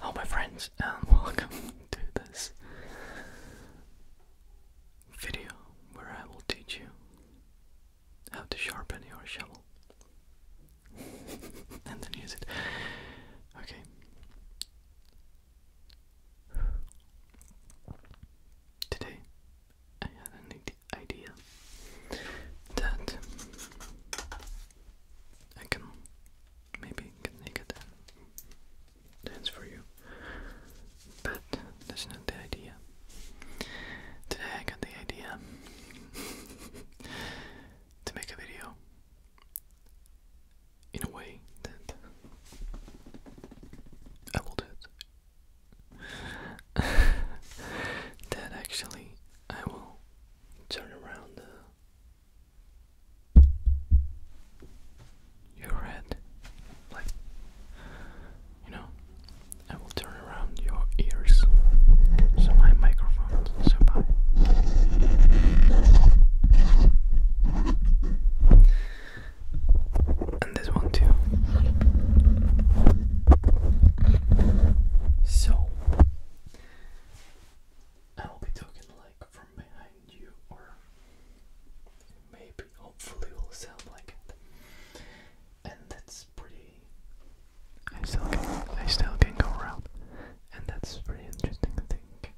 Hello, my friends, um, and welcome to this video where I will teach you how to sharpen your shovel and then use it. Okay. Today I had an idea idea that I can maybe get naked dance for you, but that's not the idea. Today I got the idea to make a video in a way that I will do it. that actually I will turn around uh, your head, like you know, I will turn around your ears. So my microphone. So bye. And this one too. So I will be talking like from behind you, or maybe hopefully it will sound like it. And that's pretty. I still can, I go around, and that's pretty interesting, I think.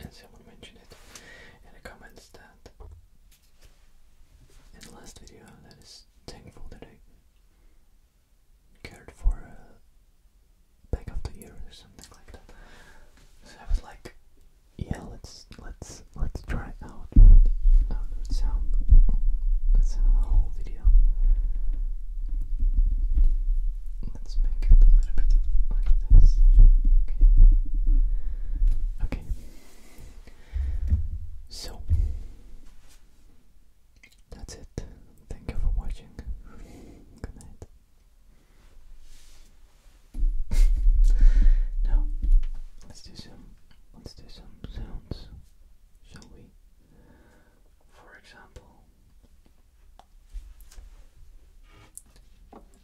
And someone mentioned it in the comments that in the last video that is thankful that I cared for uh, back of the ear or something like that. So I was like, yeah, let's let's let's try out um, sound. That's a whole video. Let's make it a little bit like this. Okay. Okay. So that's it. Thank you for watching. Good night. now, let's do some let's do some sounds, shall we? For example,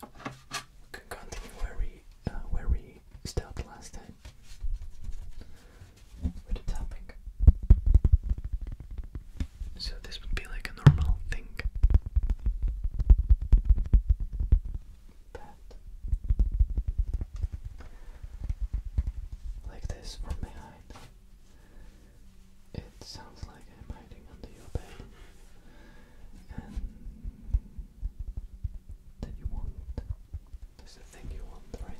we can continue where we uh, where we the last time with the So this would be like a normal thing. like this from behind. It sounds like I'm hiding under your bed. And that you want that's the thing you want, right?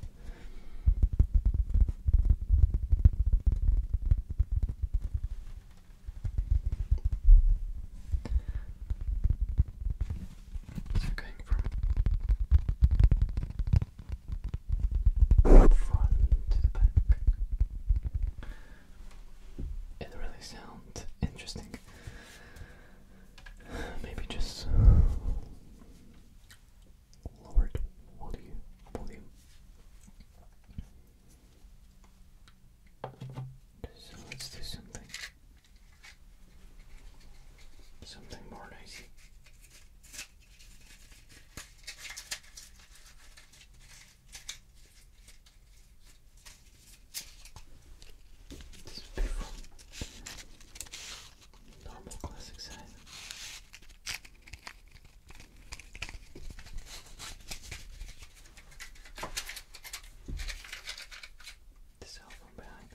going from front to back. It really sounds interesting. Maybe just Lord volume. Volume. So let's do something. Something more noisy. This is beautiful normal classic size. This album behind.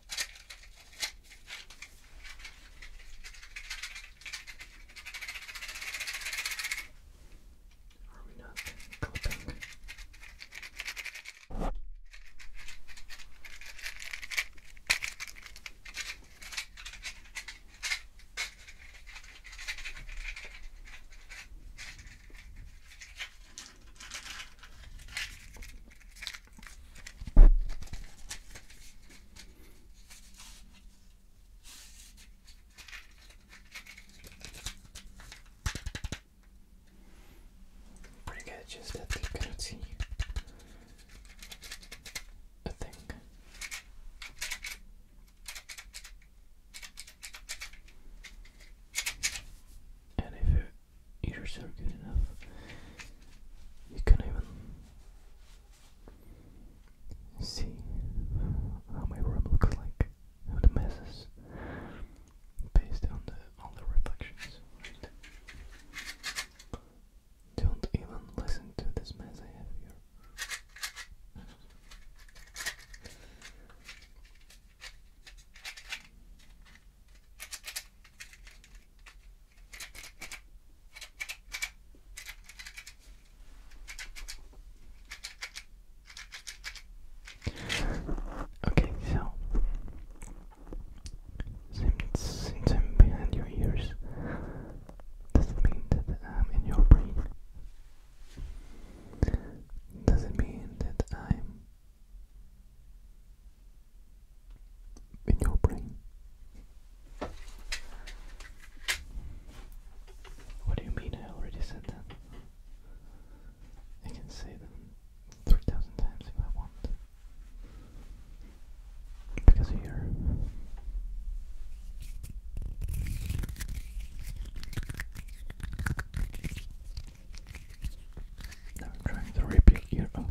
Are we not coping? Pretty good, just that they couldn't see I think. And if your ears are good enough, you can even see how my room looks like, how the mess based on the all the reflections. Don't even listen to this mess I have here. Okay, so since, I'm behind your ears, does it mean that I'm in your brain? Does it mean that I'm in your brain? What do you mean I already said that? I can say them 3000 times if I want. Because of here. I'm trying to rip your ear off.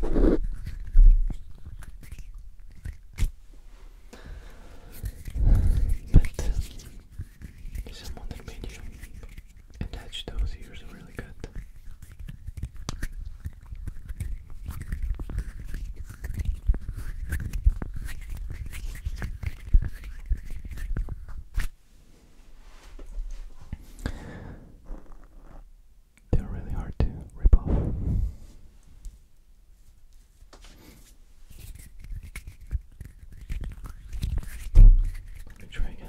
but uh, someone that attach those ears really good. They're really hard to rip off. Let me try again.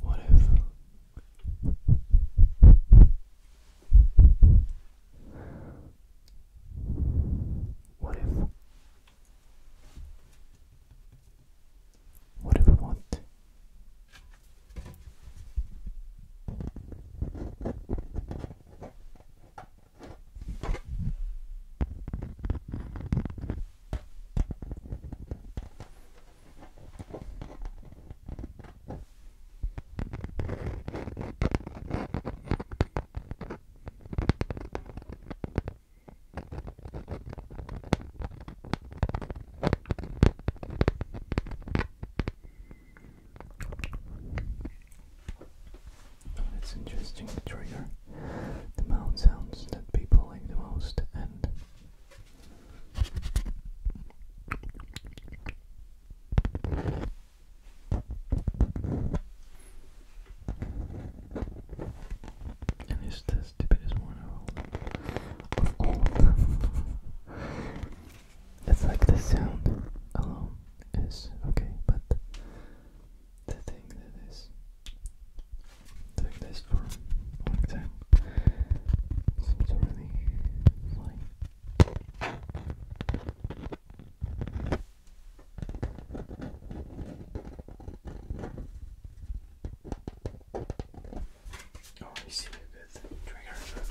What if what if what if I want that's interesting trigger the mouth sounds that people like the most and and it's the stupidest one of all of them. it's like the sound alone is okay, but the thing that is doing this for a long time seems to really Oh, I see a good trigger.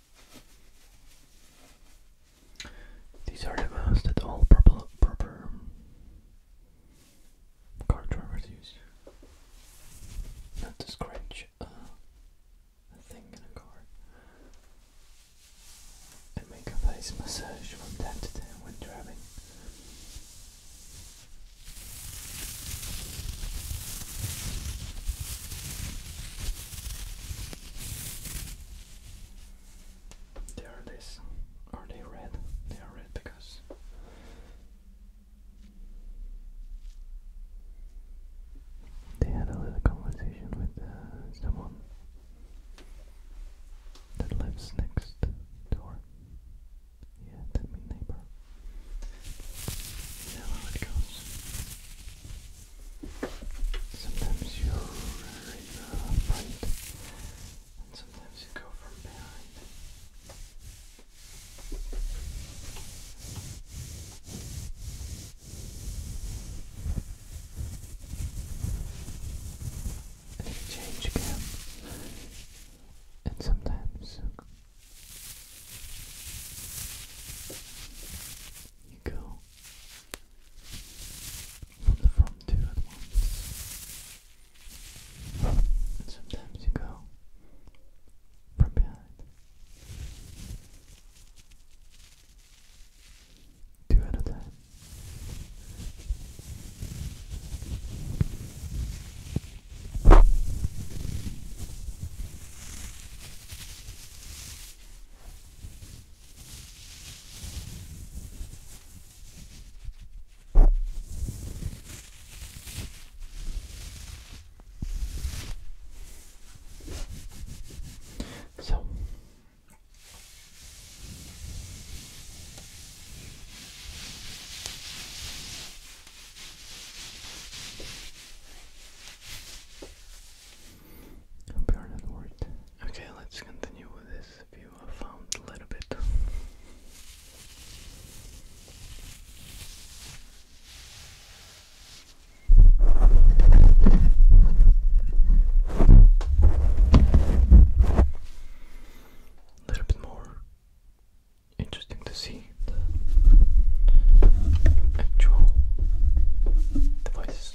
These are the ones that all proper, proper car drivers use. Not to scratch a thing in a car. I make a face massage from time to time when driving. They are this. Are they red? They are red because they had a little conversation with uh, someone that lives next door. Yeah, that neighbor. You know Sometimes you are in uh, front, and sometimes you go from behind. And you change again, and sometimes you go from the front two at once. And sometimes you go from behind. Two at a time. So hope you're not worried Okay, let's continue with this view I found a little bit. A little bit more interesting to see the actual devices.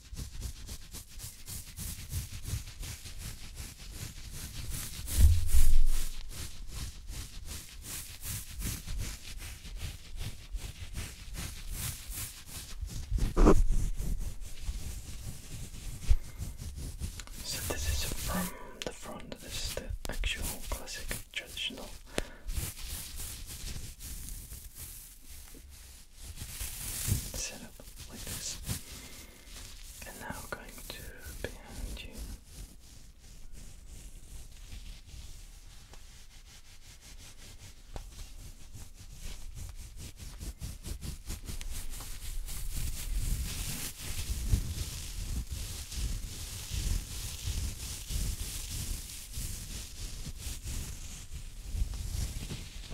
So this is from the front, this is the actual classic traditional set up like this. And now I'm going to behind you.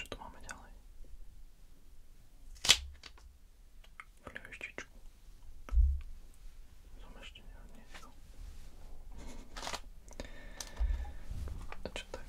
Čo tu máme ďalej? Flieštičku. Som ešte neodniesol. A čo tak?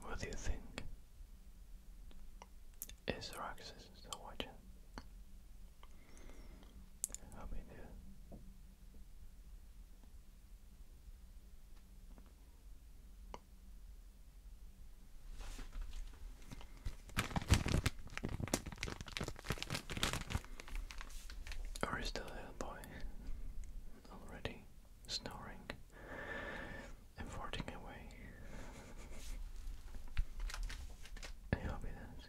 What do you think? Is Roxas still watching? Help me do. Or is the little boy already snoring and farting away? I hope it is.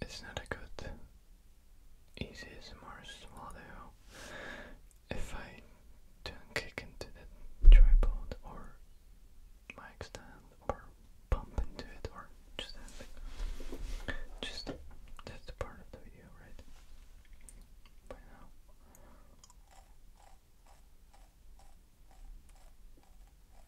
it's not a good, easy smart swallow if I don't kick into the tripod or mic stand or bump into it or just anything. Just that's the part of the video, right? By now.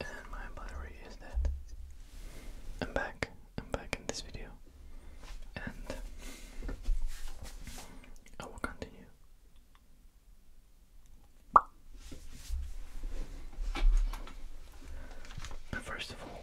And my battery is dead. I'm back. I'm back in this video. And I will continue. first of all,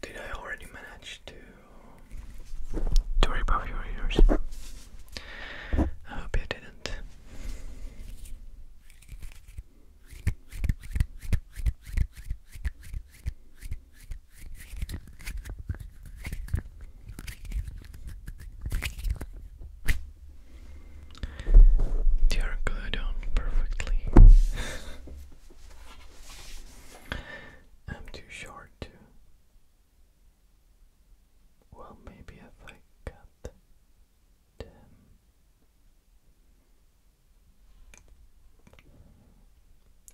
Did I already manage to to rip off your ears? I hope you didn't. They are glued on perfectly. I'm too short to. Well, maybe if I cut them.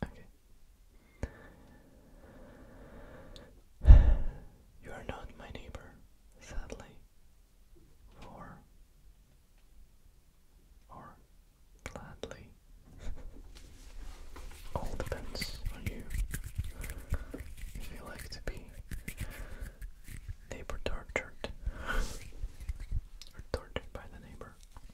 Okay, You are not my neighbor, sadly, for or gladly. All depends on you. If you like to be neighbor tortured tortured by the neighbor.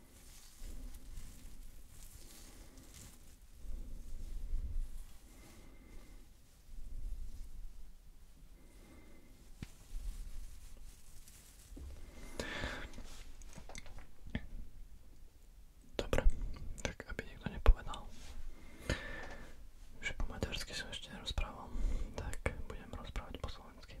Dobre, tak aby nikto nepovedal, že po maďarsky som ešte nerozprával, tak budem rozprávať po slovensky.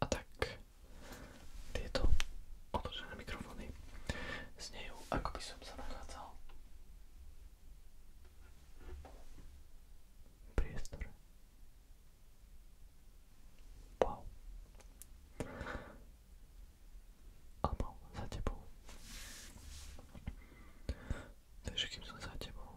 a tak tieto otočené mikrofóny znejú, ako by som sa nachádzal v priestore. Wow. Alebo za tebou. Takže kým som za tebou,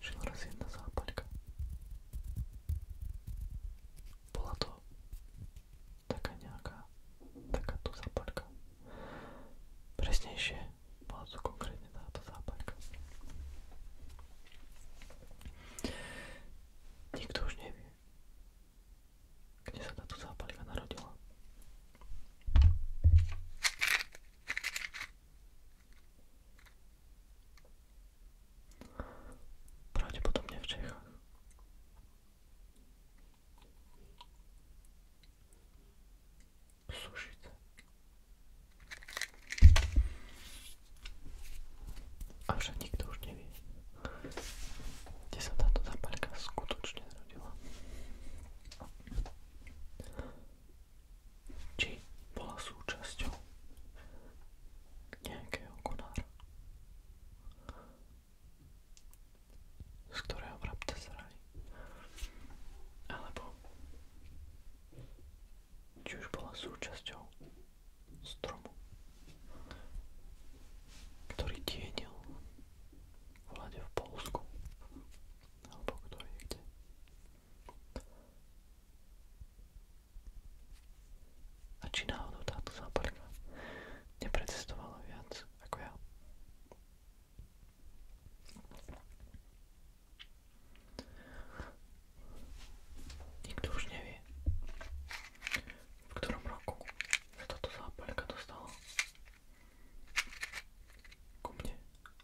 šla raz jedna zápaľka. Bola to taká nejaká, takáto zápaľka. Presnejšie bola to konkrétne táto zápaľka. Nikto už nevie, kde sa táto zápaľka narodila. Prawdopodobnie w Czechach. Suszyce. A że nikt już nie wie. Gdzie się ta zapalka skutecznie zrobiła. či bola súčasťou nejakého konára, z ktorého vrabce zrali, alebo či už bola súčasťou stromu, ktorý tienil vlade v Polsku, alebo kto je kde. A či náhodou táto zápalka neprecestovala viac ako ja. Nikto už nevie, v ktorom roku sa táto zápalka dostala ku mne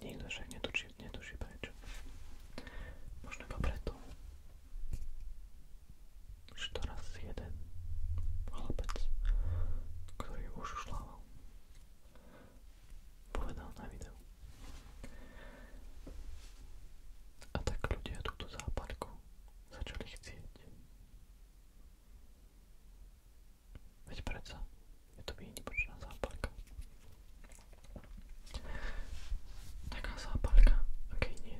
Nikto však netučí, netuší prečo. Možno iba preto, že to raz jeden chlapec, ktorý už ušlával, povedal na videu. A tak ľudia túto západku začali chcieť. Veď predsa Ja tobie nie potrzebna zapalka. Taka zapalka. Okej, okay, nie.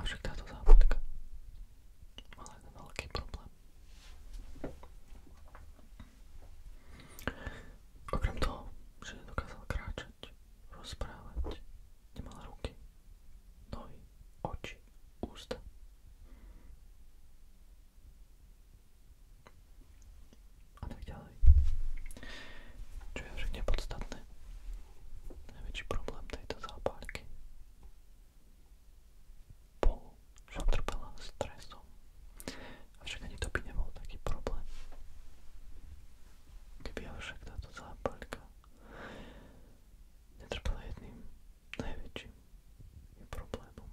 Avšak táto závodka mala jeden veľký problém. Okrem toho, že nedokázal kráčať, rozprávať, nemala ruky, nohy, oči, ústa a tak ďalej. Čo je však nepodstatné. Najväčší problém tejto zápálky bol, že trpela stresom. Avšak ani to by nebol taký problém. Keby avšak táto zápalka netrpela jedným najväčším problémom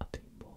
a tým bol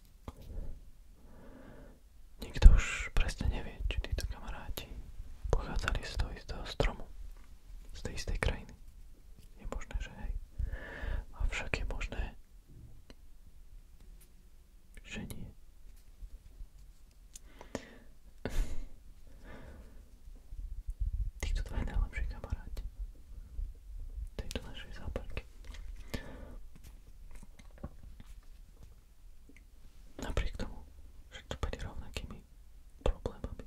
Nikto už presne nevie, či títo kamaráti pochádzali z toho istého stromu, z tej istej krajiny. Je možné, že hej. Avšak je možné, že nie. Títo dva najlepší kamaráti tejto našej západky. Napriek tomu, že trpeli rovnakými problémami.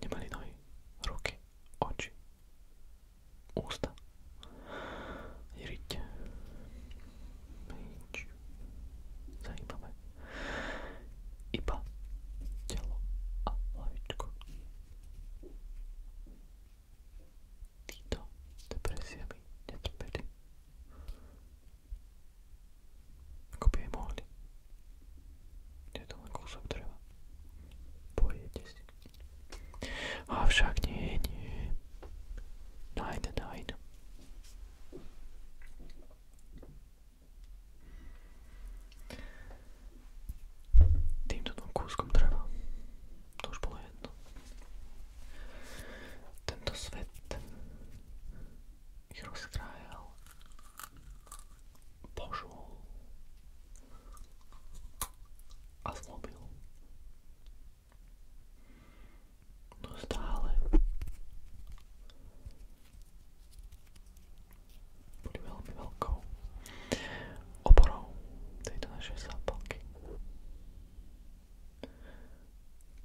Nemali nohy, ruky, oči, ústa, riť, nič zajímavé. Iba telo a hlavičku týto depresiami netrpeli. Ako by aj mohli. Je to len kúsok dreva. Pojete si. Avšak nie, nie. Nein, nein. Týmto dvom kúskom dreva. To už bolo jedno. Tento svet ich rozkrájal požul a zlobil. No stále boli veľmi veľkou oporou tejto našej zápalky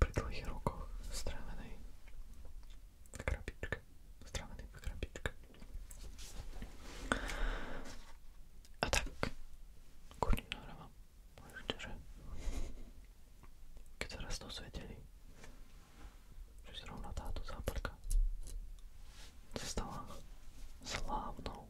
pri dlhých rokoch strávenej v krabičke. Strávený v krabičke. A tak, kurník nahrávam. Môžete, že? Keď sa raz dosvedeli, že zrovna táto západka sa stala slávnou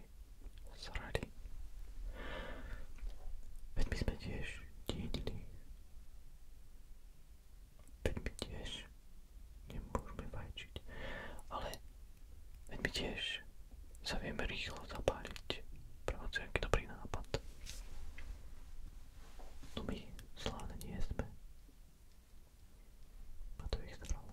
srali. Veď my sme tiež dedili. Veď my tiež nemôžeme fajčiť. Ale veď my tiež sa vieme rýchlo zapáliť. Prácu, aký dobrý nápad. No my slávne nie sme. A to ich zdravo.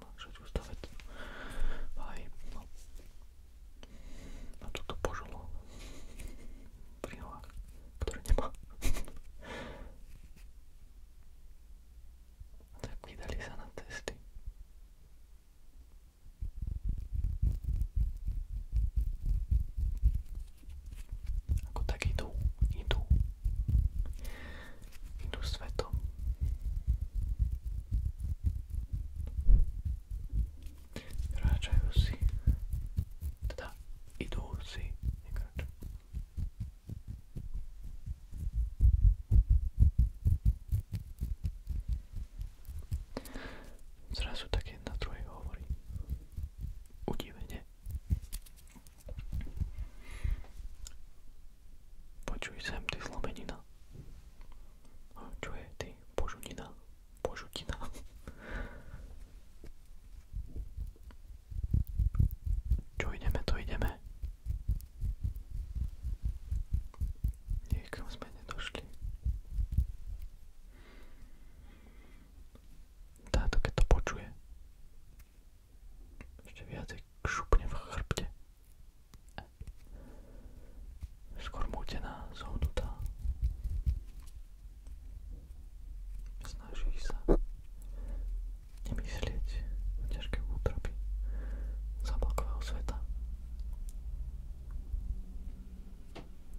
takže čustá vec. Aj, no. A toto požilo pri nohách, ktoré nemá. tak vydali sa na testy. Ako tak idú, idú idú svetom. Kráčajú si, teda idú si, nekráčajú. Zrazu tak jedna druhej hovorí. Udivene. Počuj sem, ty zlomenina. Čo je ty? Požutina. Požutina. Čo ideme, to ideme. Niekam sme nedošli. Táto keď to počuje, ešte viacej šupne v chrbte. Skôr mútená, zohnutá. Snaží sa nemyslieť na ťažké útrapy záblakového sveta.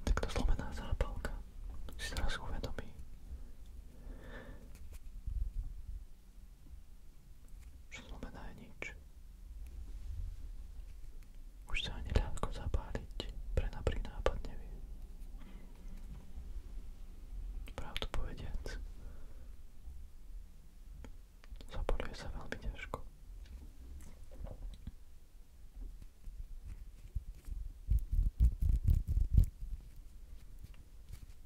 Takto zlomená zápalka si teraz uvedomí, čo znamená nič. Už sa ani ľahko zapáliť pre naprý nápad nevie. Pravdu povediac, zapaluje sa veľmi ťažko.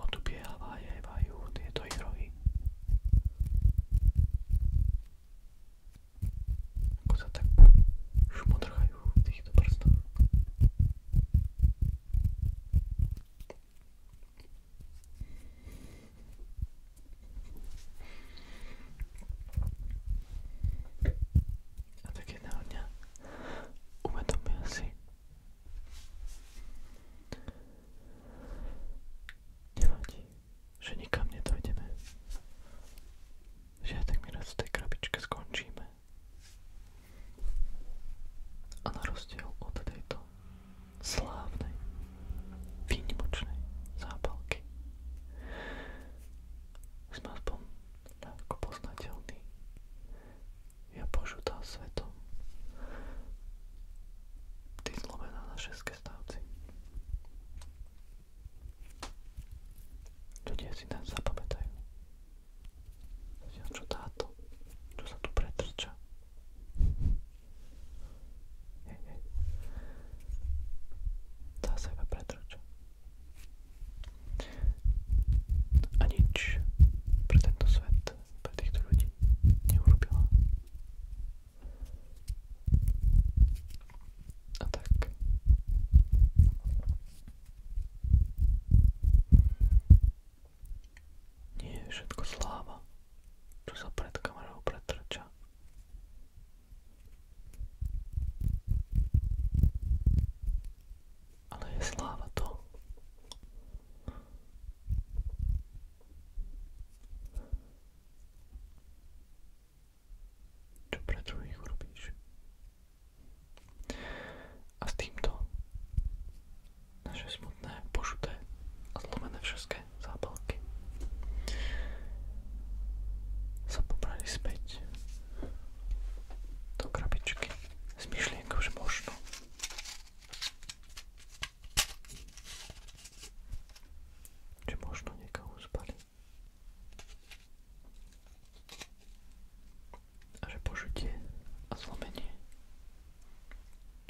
odbievajú tieto ich rohy. Ako sa tak šmodrchajú v týchto prstoch. A tak jedného dňa uvedomia si, Nevadí, že nikam nedojdeme. Že aj tak my raz v tej krabičke skončíme. A na rozdiel od tejto slávnej, výnimočnej zápalky sme aspoň ľahko poznateľní ja požutá svetom. Ty zlomená na šeske stávci. Ľudia si nás zapamätajú. Čo táto? Čo sa tu pretrča? Nie, nie. Tá sa iba pretrča. A nič pre tento svet pre týchto ľudí neurobila. A tak. Nie je všetko sláva, čo sa pred kamerou pretrča. Ale je sláva to, čo pre druhých urobíš. A s týmto naše smutné, pošuté a zlomené všetké zápalky sa pobrali späť do krabičky s myšlienkou, že možno či možno niekam uspali. A že požutie a zlomenie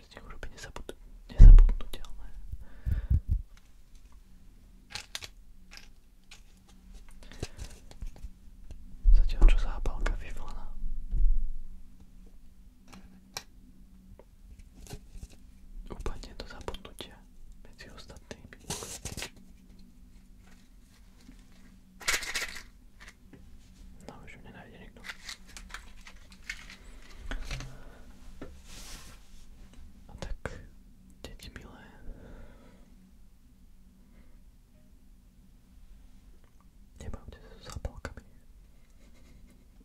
z nich urobí nezabud nezabudnutelné. Zatiaľ čo zápalka vyvlana Upadne do zabudnutia medzi ostatnými. No už ju nenájde nikto. A tak, deti milé. Nebavte sa s zapalkami.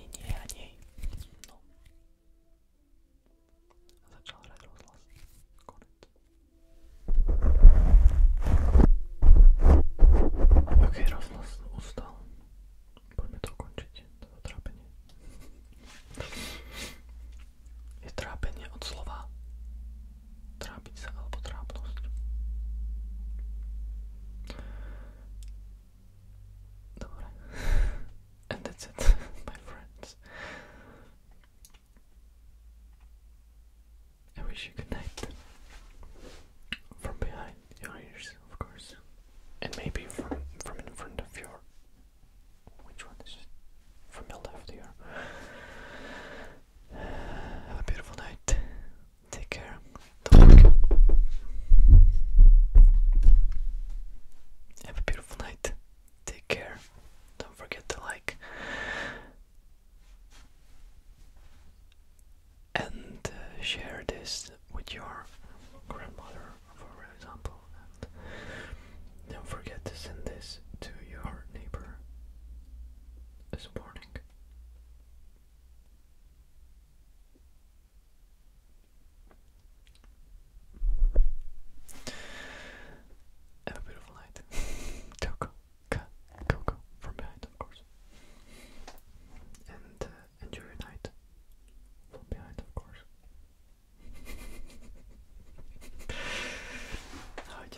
ani nie, ani no. Začal hrať rozhlas. Konec. Ok, rozhlas ustal. Poďme to ukončiť, toto trápenie. Je trápenie od slova trápiť sa alebo trápnosť. and that's it, my friends. I wish you good night from behind your ears, of course, and maybe from from in front of your. Which one is it? From your left ear. Have a beautiful night. Take care. Talk. Have a beautiful night. Take care. Don't forget to like. And uh, share this with your grandmother, for example. And don't forget to send this to your neighbor as a and a bit of Coco. Coco. From behind, of course. And uh, enjoy your night. From behind, of course. Chodź.